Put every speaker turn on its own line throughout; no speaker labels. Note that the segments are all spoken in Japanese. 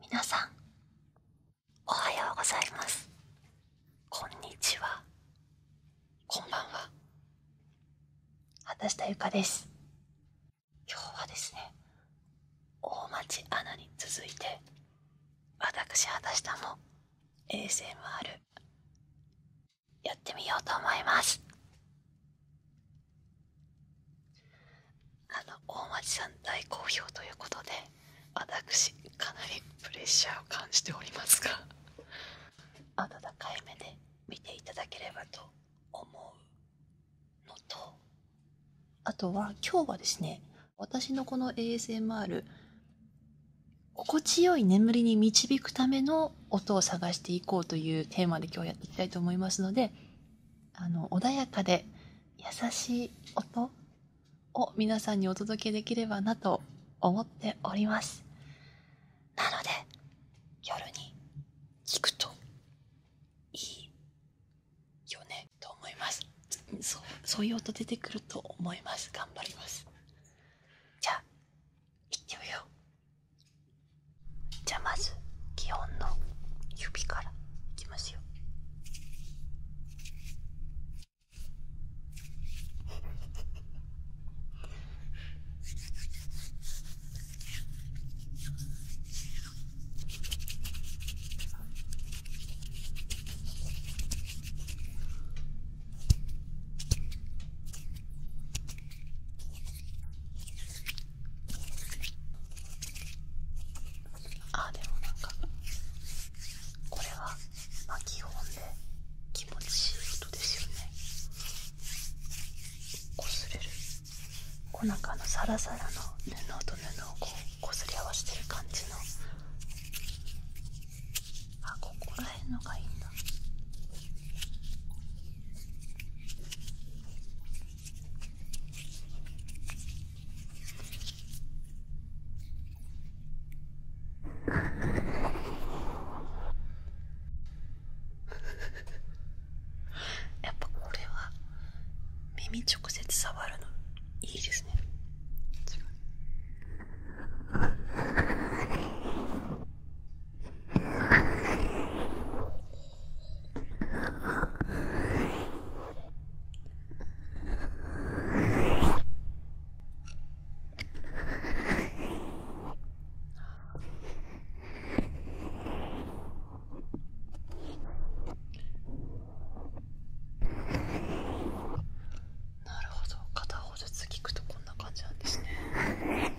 皆さんおはようございますこんにちはこんばんは畑下ゆかです今日はですね大町アナに続いて私畑下も ASMR やってみようと思いますあの大町さん大好評ということで私かなりプレッシャーを感じておりますが 温かい目で見ていただければと思うのとあとは今日はですね私のこの ASMR 心地よい眠りに導くための音を探していこうというテーマで今日やっていきたいと思いますのであの穏やかで優しい音を皆さんにお届けできればなと思っておりますなので夜に聞くといいよねと思いますそうそういう音出てくると思います頑張りますじゃあ行ってみようじゃあまず基本の指からいきますよあでもなんかこれはまあ基本で気持ちいい音ですよねこすれるこうなんかあのサラサラの布と布をこうこすり合わせてる感じのあここら辺のがいいんだやっぱこれは耳直接触るのいいですねうん。なるほど片方ずつ聞くとこんな感じなんですね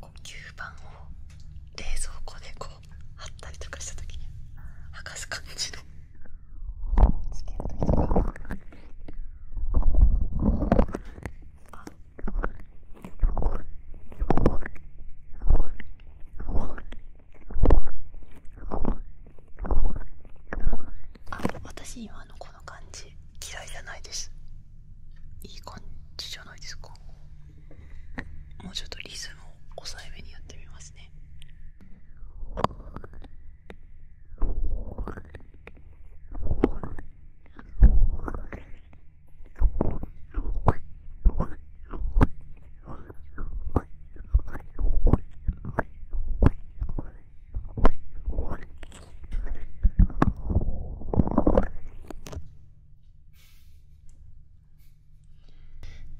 こう吸盤を冷蔵庫でこう貼ったりとかした時に剥がす感じのああ私今のこの感じ嫌いじゃないですいい感じじゃないですかもうちょっとリズムを抑えめにやってみますね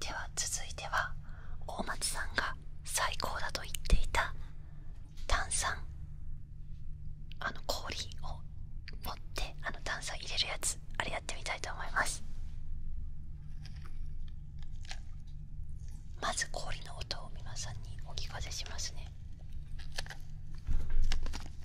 では続いては大松さんが最高だと言っていた炭酸あの氷を持ってあの炭酸入れるやつあれやってみたいと思いますまず氷の音を皆さんにお聞かせしますね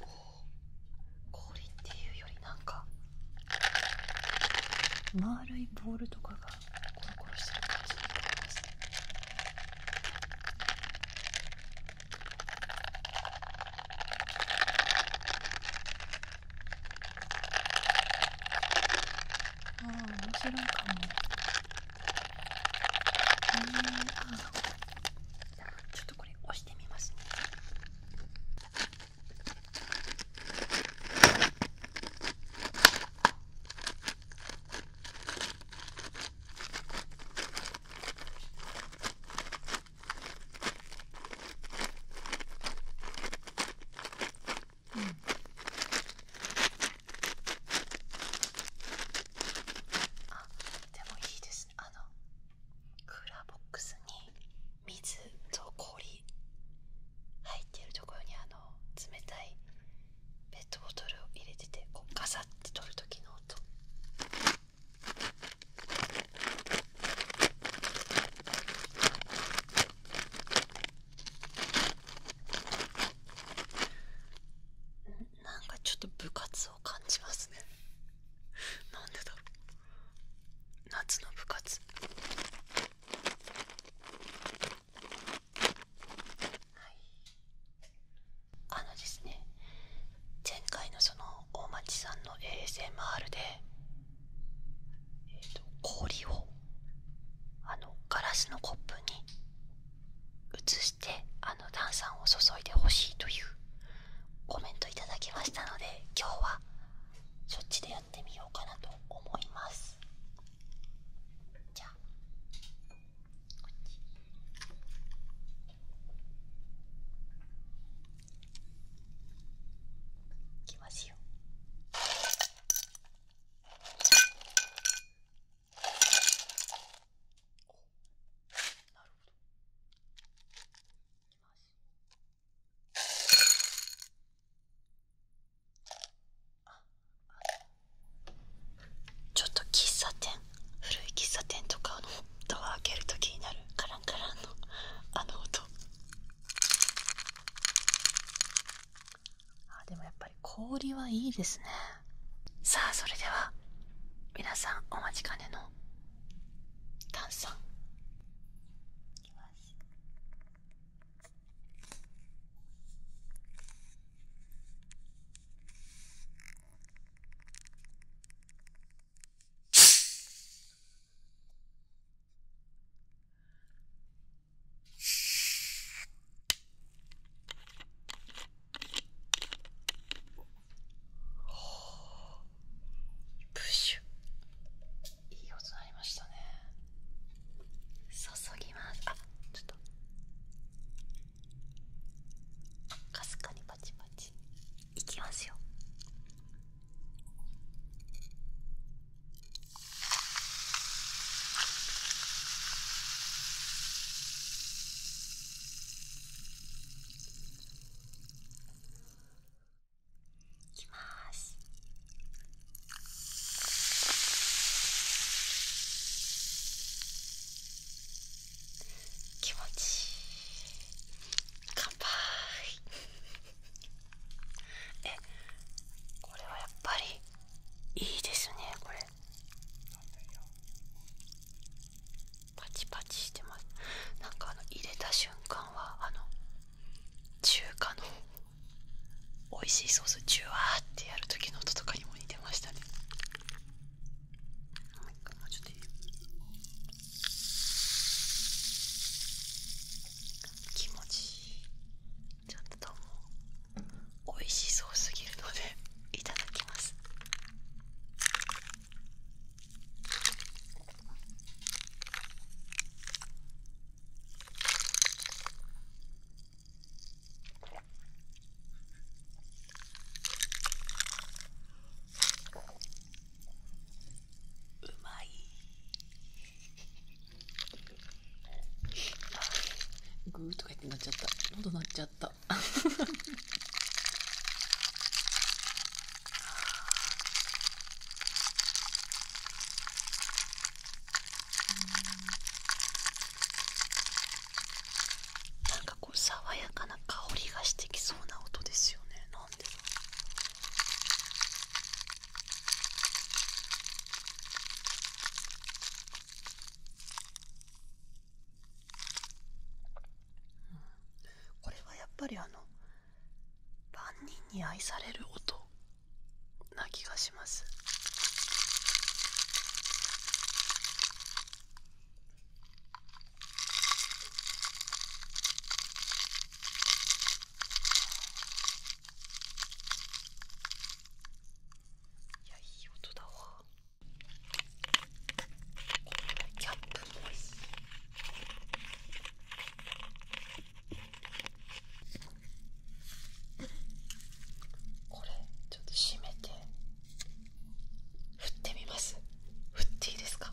こう氷っていうよりなんか丸いボールとかがコロコロしてる感じになりますね。ああ面白いかも。ちょっとこれ押してみますねうん、あでもいいですあのクーラーボックスに水と氷入ってるところにあの冷たいペットボトルを入れててこうガサッて取る時の音なんかちょっと部活を感じますね何でだろう夏の部活はいあのですね前回のその大町さんの ASMR で、えー、と氷をあのガラスのコップに移してあの炭酸を注いでほしいというコメントいただきましたので今日はそっちでやってみようかなと思いますじゃあこっちいきますよ。なるほどいますあちょっと喫茶店古い喫茶店とかのドア開けると気になるカランカランのあの音あでもやっぱり氷はいいですねさあそれでは皆さんお待ちかねの炭酸いきますはあ。プシュいい音鳴りましたね注ぎますあちょっとかすかにパチパチいきますよきます。気持ちいい乾杯えっ、これはやっぱりいいですねこれパチパチしてますなんかあの入れた瞬間はあの中華の美味しいソースジュワーってやる時の音とかにも似てましたねもう一回もうちょっと気持ちいいちょっともう美味しそうすぎるのでいただきますうまいグーとか言ってなっちゃった喉なっちゃった なんかこう爽やかな香りがしてきそうな音ですよねなんでうん。これはやっぱりあの万人に愛される音な気がしますいやいい音だわこれキャップもこれちょっと閉めて振ってみます振っていいですか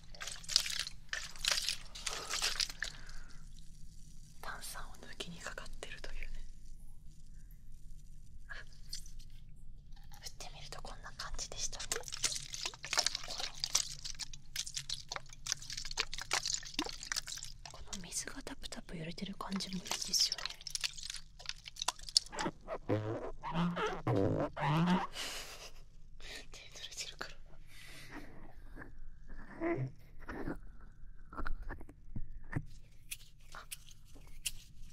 炭酸を抜きにかかってるというね 振ってみるとこんな感じでしたねこの水がタプタプ揺れてる感じもいいですよねれてるから。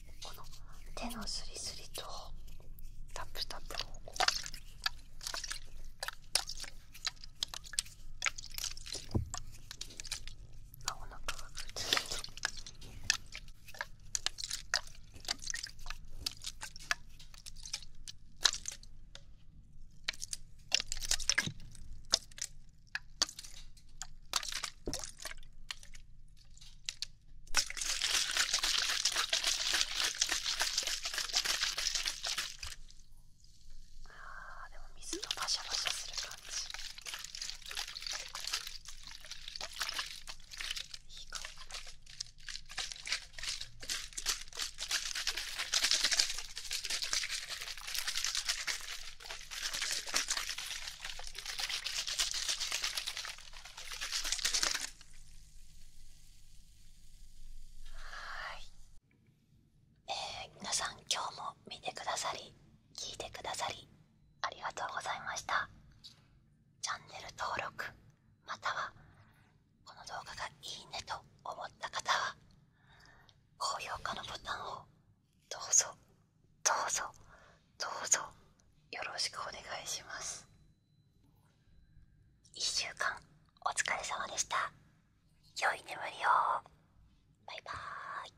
この手のスリスリとタップタップをこうあお腹がくっついてあでも水とバシャバシャする感じ。いい顔かなはい、え皆さん今日も見てくださり聞いてくださりありがとうございましたチャンネル登録またはこの動画がいいねと思った方は高評価のボタンをどうぞどうぞどうぞよろしくお願いします1週間お疲れ様でした良い眠りをバイバーイ